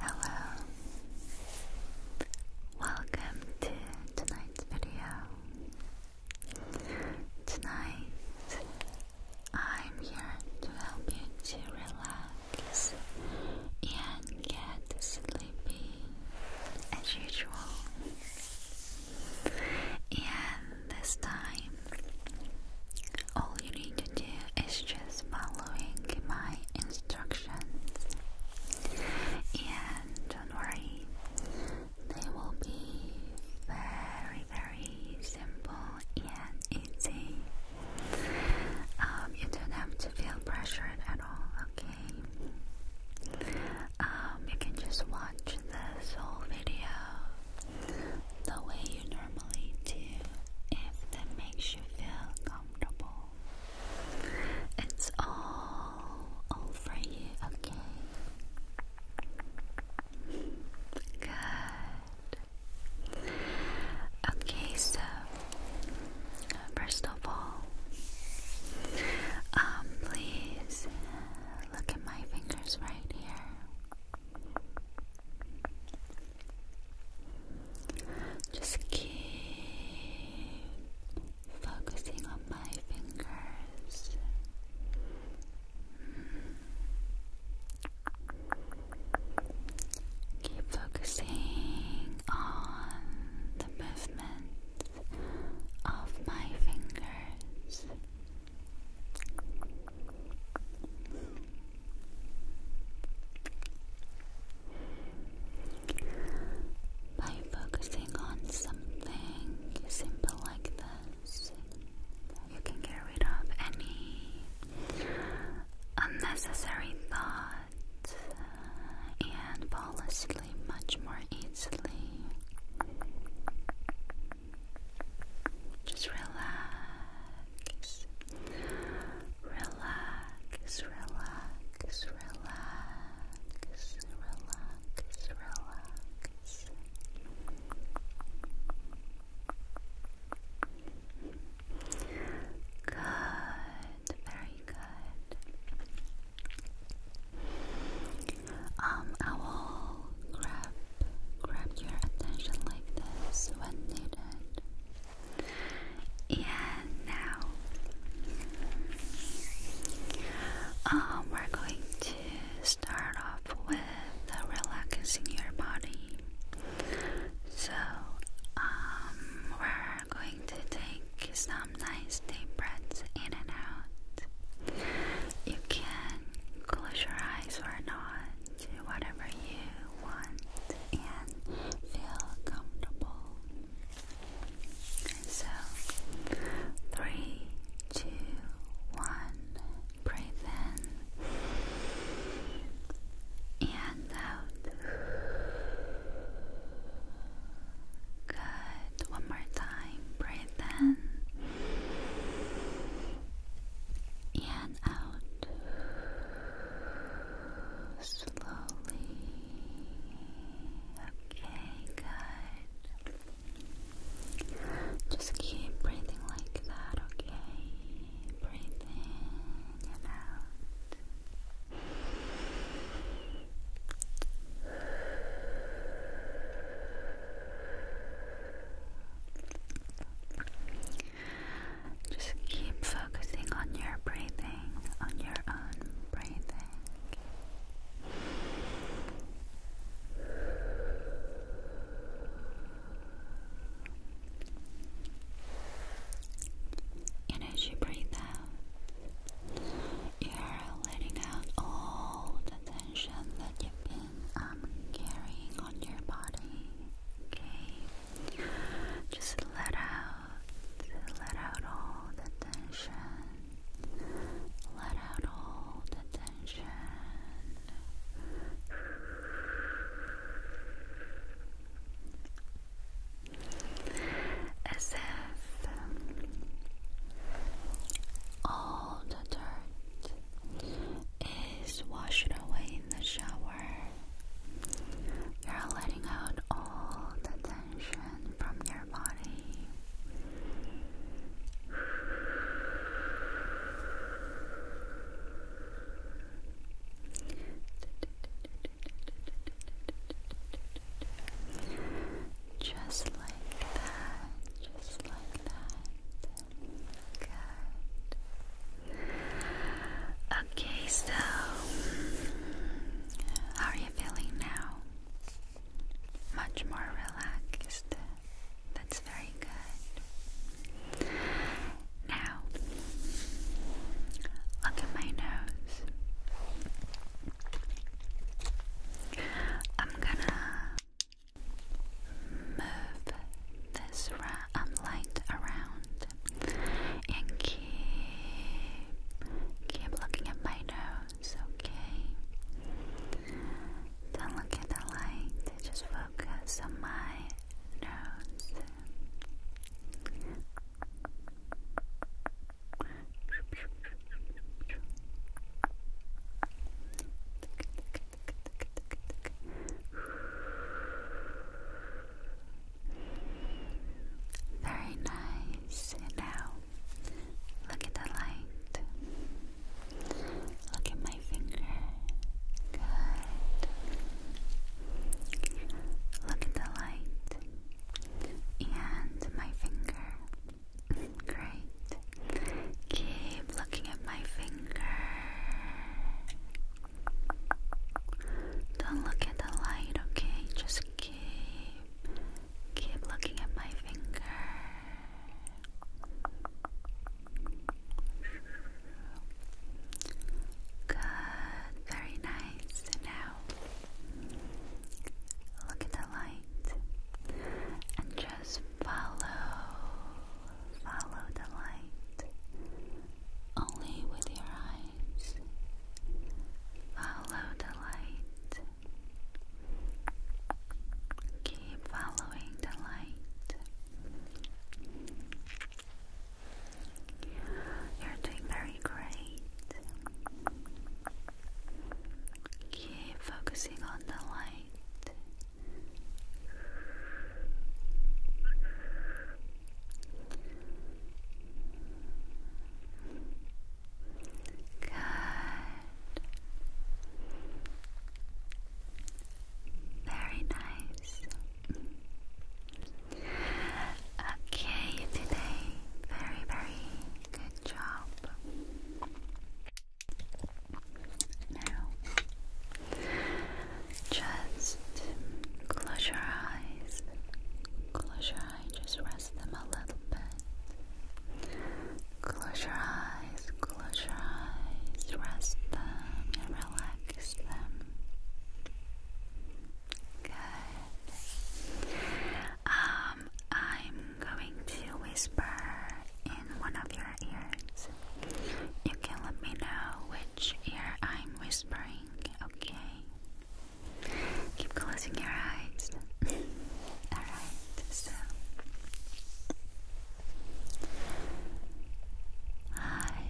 Hello, welcome to tonight's video. Tonight, I'm here to help you to relax and get sleepy as usual. And this time, all you need to do is just following my instructions. And don't worry, they will be very, very simple and easy. Um, you don't have to feel pressured at all, okay? um, you can just watch this whole video the way you normally do if that makes you feel comfortable. It's all over you, okay? Good. Okay, so first of all, um, please look at my fingers right here. Just keep focusing on my fingers. Keep focusing on the movement of my fingers. By focusing on something simple like this, you can get rid of any unnecessary thoughts and fall asleep sleep much more easily. Just relax, relax, relax, relax, relax, relax. Good, very good. Um, I will grab grab your attention like this when needed. And now, um, we're going to start off with relaxing your body. So, um, we're going to take some nice deep breaths in and out. You can close your eyes or not, whatever you want, and feel comfortable. So, three, two, one, breathe in and out. Good. One more time. Breathe in and out. Slowly. Okay, good. Just keep breathing like that, okay? Breathe in and out. Just keep focusing on your breathing, on your own breathing. And as you breathe out, you're letting out all the tension that you've been um, carrying on your body. Okay? Just let out, let out all the tension. Let out all the tension. As all the dirt is washed away in the shower. You're letting out all the tension from your body. Just like that, just like that. Good. Okay, so how are you feeling now? Much more relaxed. That's very good. Now, look at my nose. I'm gonna move this ra um, around and keep keep looking at my nose, okay? Don't look at the light, just focus on my nose. Very nice. And now look at the light. Look at my finger. Good. Look at the light. And my finger. Great. Keep looking at my finger. Don't look at the light, okay? Just keep keep looking at my finger. Good, very nice. Now look at the light light and just follow, follow the light only with your eyes. Follow the light. Keep following the light. You're doing very great. Keep focusing on the light. Good. Very nice. Okay, today very, very Good job. Now, just close your eyes. Close your eyes, just rest them a little bit. Close your eyes, close your eyes, rest them and relax them. Good. Um, I'm going to whisper in one of your ears. You can let me know which ear I'm whispering, okay? Keep closing your eyes. Alright, so. Hi.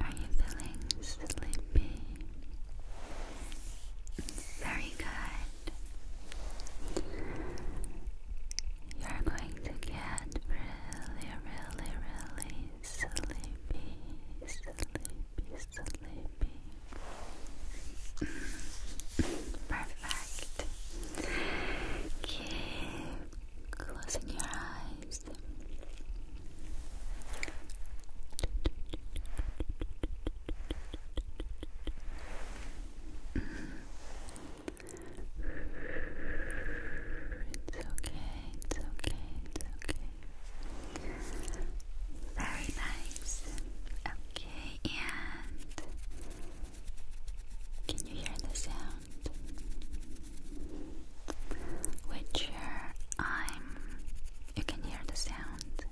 Are you feeling sleepy? Very good. You're going to get really, really, really sleepy, sleepy, sleepy. Mm. Perfect. Keep closing your eyes. It's okay, it's okay, it's okay. Very nice. Okay, and can you hear the sound? Which uh, I'm you can hear the sound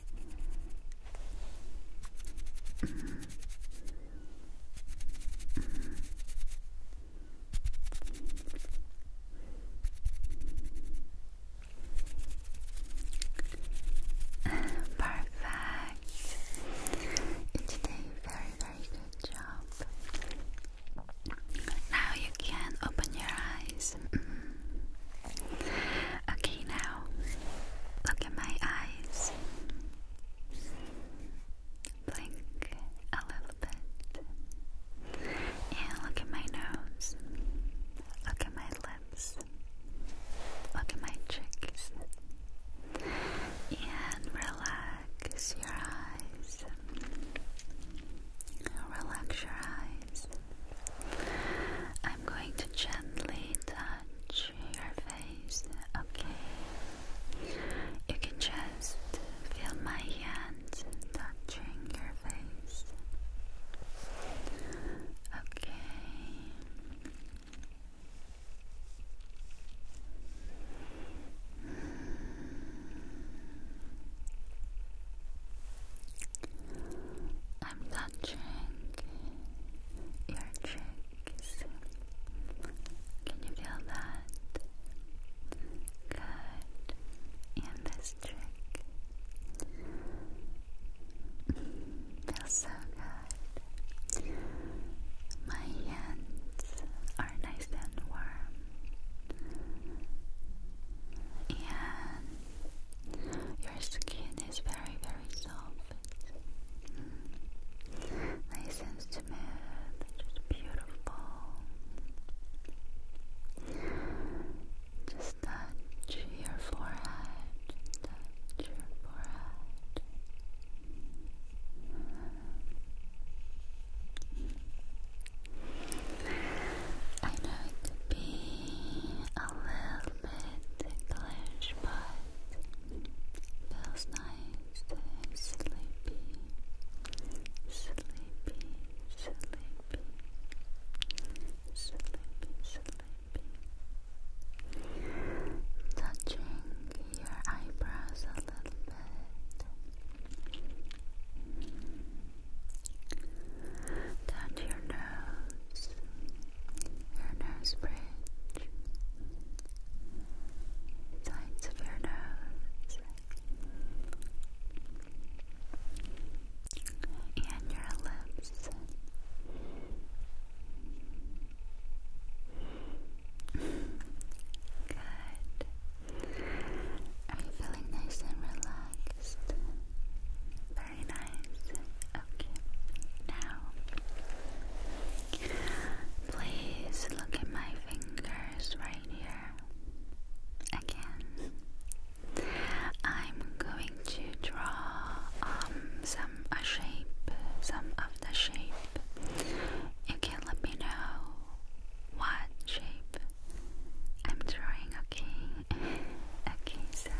Perfect. You did a very, very good job. Now you can open your eyes. Mm. okay, now look at my eyes. Blink a little bit. And look at my nose. Look at my lips. Look at my cheeks. And relax your eyes. Relax your eyes. I'm going to gently touch your face, okay? You can just feel my hand touching your face. Okay. I'm touching your cheeks. Can you feel that? Good. And this cheek. Feels so good. My hands are nice and warm. And your skin is very, very soft, mm. nice and smooth, just beautiful. Just touch your forehead, just touch your forehead. I know it could be a little English, but feels nice and sleepy, sleepy, sleepy, sleepy, sleepy. Touching your eyebrows a little bit down to your nose, your nose bridge, sides of your nose, and your lips. Good. Are you feeling nice and relaxed? Very nice. Okay. Now, please look at my fingers right here. Again, I'm going to draw um, some a shape, some of the shape. You can let me know what shape I'm drawing, Okay, okay, so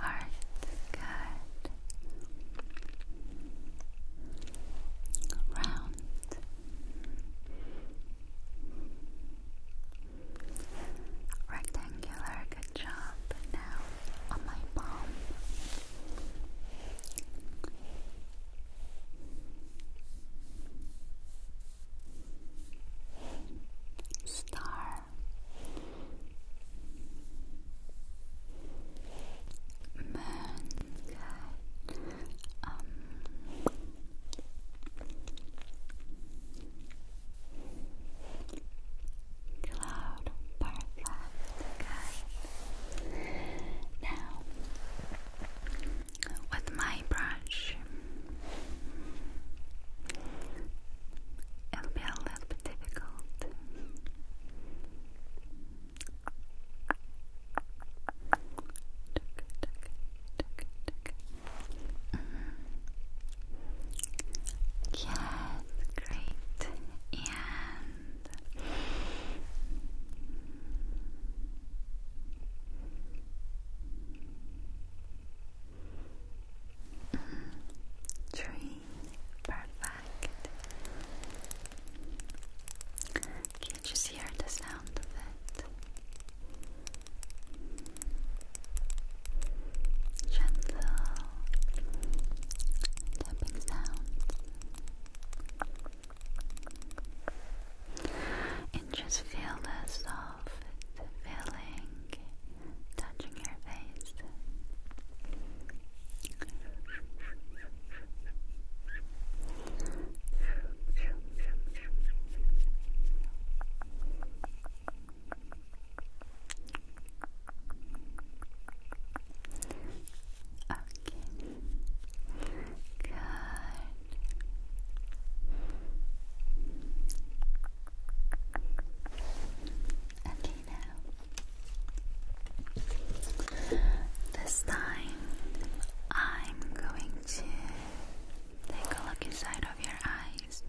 Alright, good. Round. Rectangular, good job. Now on my palm. Star Moon um, Cloud Perfect now, with my brush, it'll be a little bit difficult. Mm-hmm. Yes, great. And Mm, three, perfect. Can you hear the sound of it? Gentle tapping sound. And just feel the soft feeling touching your face. Okay. Good. Okay, now this time I'm going to take a look inside of your eyes.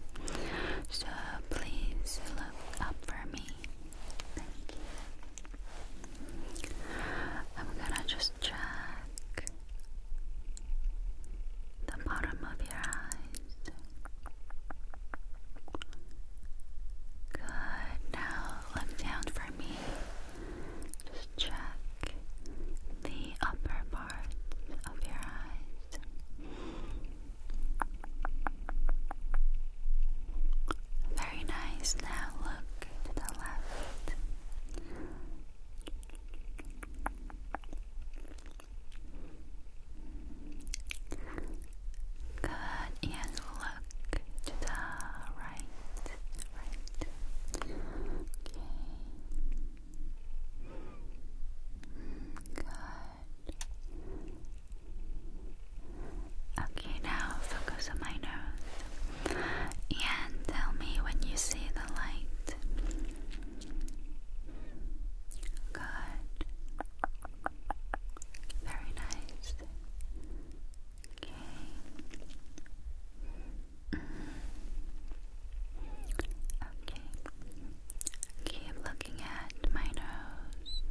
So please look up for me. Thank you. I'm gonna just check the bottom of your eyes. Good. Now look down for me. Just check the upper part of your eyes. Very nice. Now look to the left. Good. And look to the right. Right. Okay. Hmm, good. Okay, now focus on my nose and tell me when you see the light. Good. Very nice. Okay. Mm. Okay. Keep looking at my nose.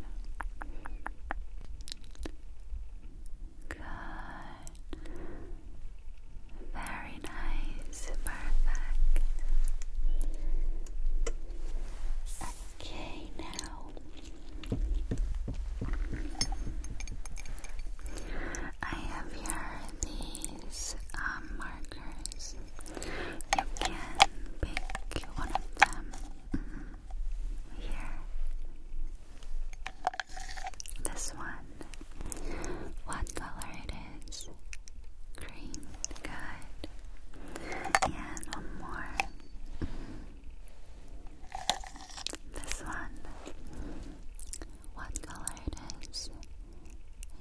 Good. Very nice. Perfect. Okay, now I have here these um, markers. You can pick one of them. Mm-hmm here. This one. What color it is? Green. Good. And one more. This one. What color it is?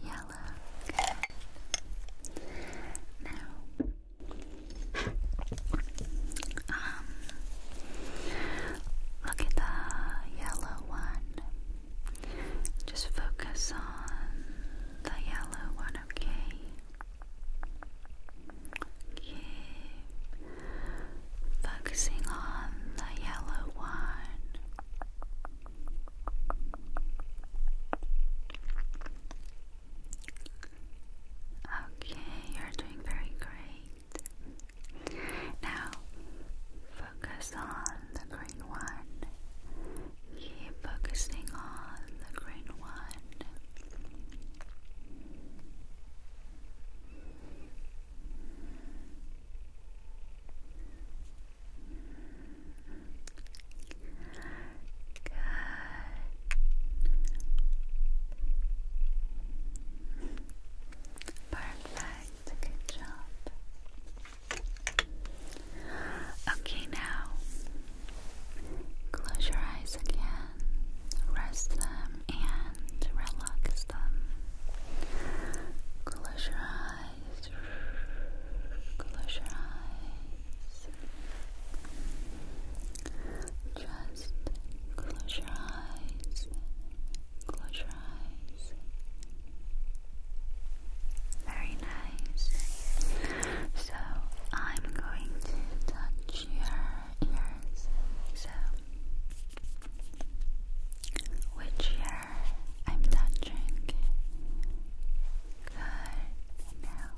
Yellow. Now um, look at the yellow one. Just focus on the yellow one, okay? Keep focusing on the yellow one. Okay, you're doing very great. Now focus on the green one. Keep focusing on the green one. Good. Perfect. Good job. Okay, now close your eyes again. Rest them and relax them. Close your eyes. Close your eyes. Just close your eyes, close your eyes. Very nice. So I'm going to touch your ears. So, which ear I'm touching? Good now.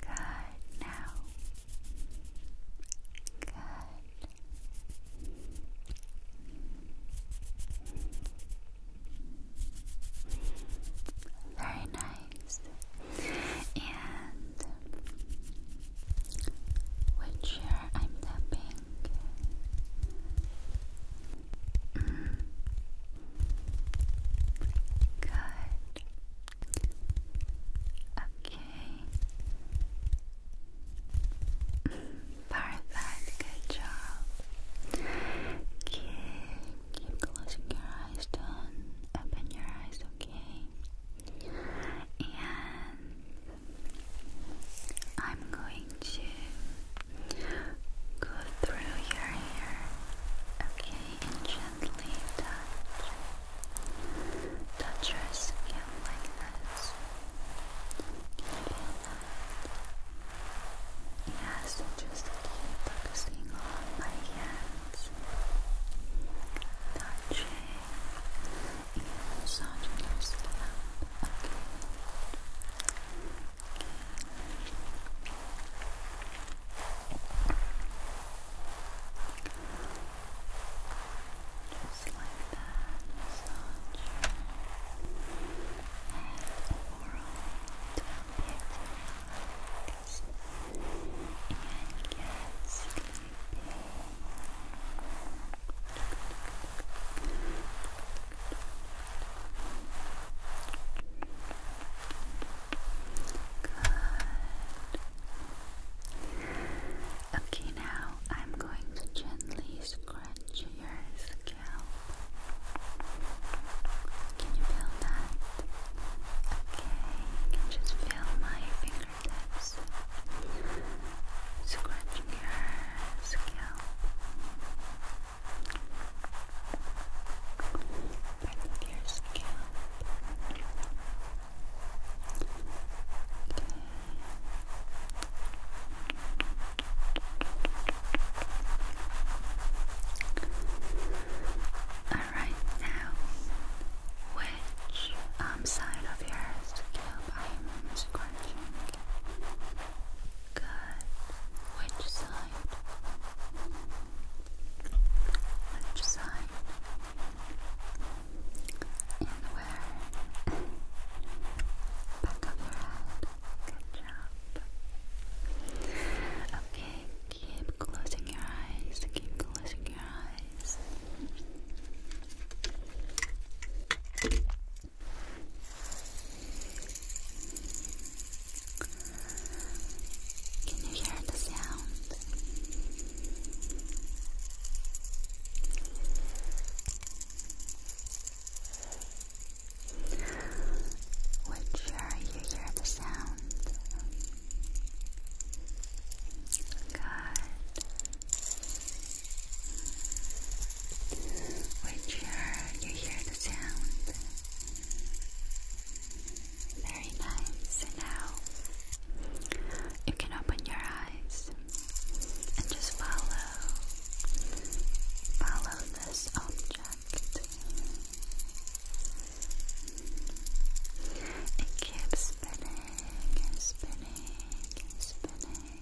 Good now. Good. Very nice. And which ear I'm tapping? Mm. Good. Okay. Perfect. Good job. Okay. Keep closing your eyes. do open your eyes. Okay. And I'm going to go through your hair. Okay, and gently touch. Touch your skin like this. that? Yes, just keep focusing on my hands. Touching and massaging your okay. Just like that, massage your head overall to help you and get sleepy. Good. Okay, now I'm going to gently scratch your scalp. Can you feel that? Okay, you can just feel my fingertips scratching your scalp. Part your scalp. All right, now, which um, side of your scalp I am scratching? Good. Which side? Which side? in where? Back of your head. Good job. Okay, keep closing your eyes. Keep closing your eyes. Can you hear the sound? Which sure you hear the sound. Good. Which sure you hear the sound. Very nice. now you can open your eyes and just follow, follow this object. It keeps spinning spinning spinning spinning.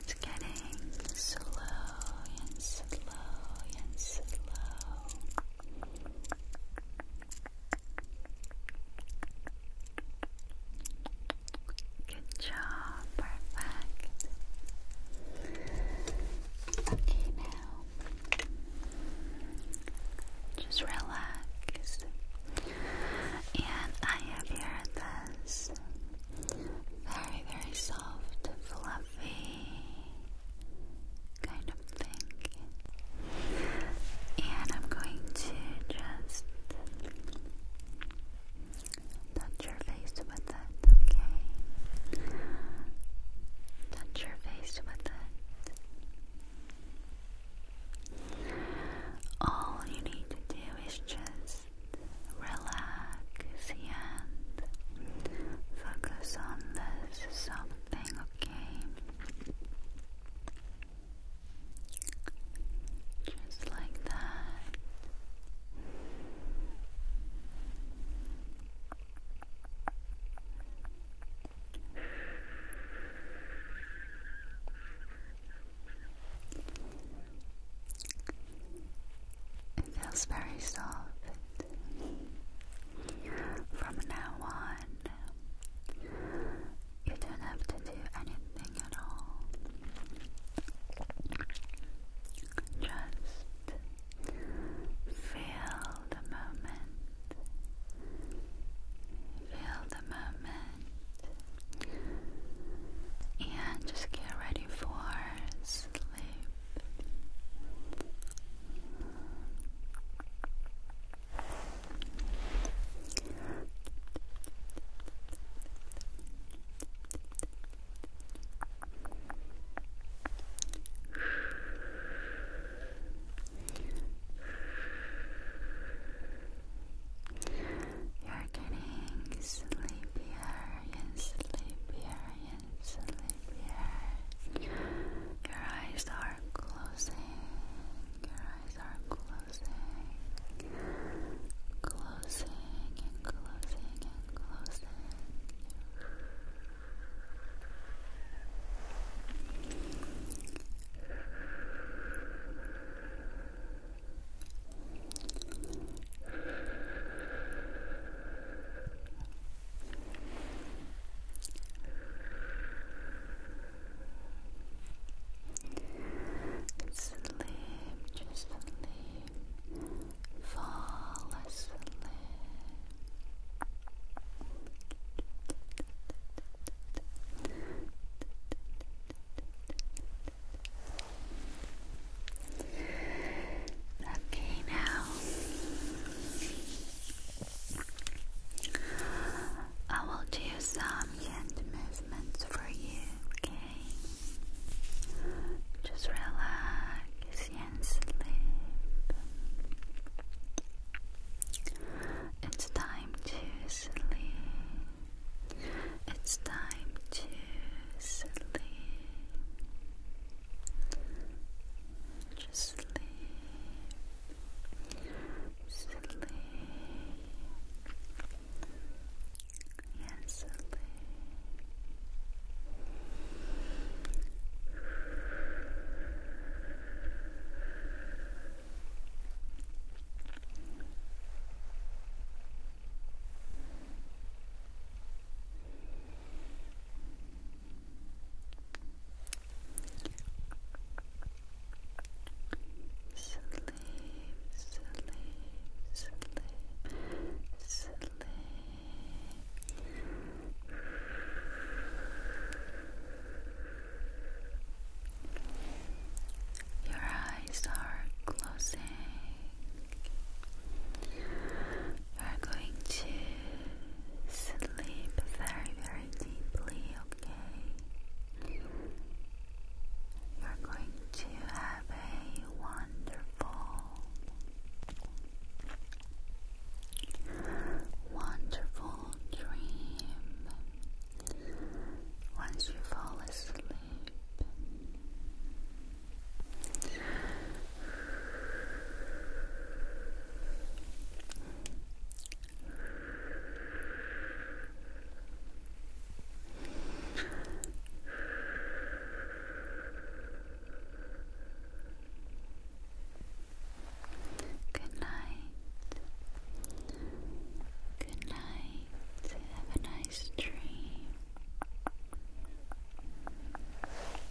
It's getting slow and slow and slow. Good job, perfect. Okay, now just relax. And I have here this very, very soft, fluffy kind of thing. And I'm going to just touch your face with it, okay? Touch your face with it. All you need to do is just relax and focus on the this is something, okay? Just like that. It feels very soft. From now on, you don't have to do anything at all. Just feel the moment. Feel the moment. And just get ready for sleep. You're getting sleepier and sleepier sleep here. Your eyes are closing. Your eyes are closing. Closing and closing and closing. Sleep, just sleep, fall asleep. Okay, now I will do some hand movements for you, okay? Just relax and sleep. It's time to sleep. It's time to sleep. Just sleep, sleep, yes, sleep sleep, sleep, sleep, sleep. Your eyes are closing. You're going to sleep very, very deeply, okay? You're going to have a wonderful, wonderful dream once you fall asleep. Good night. Good night. Have a nice dream.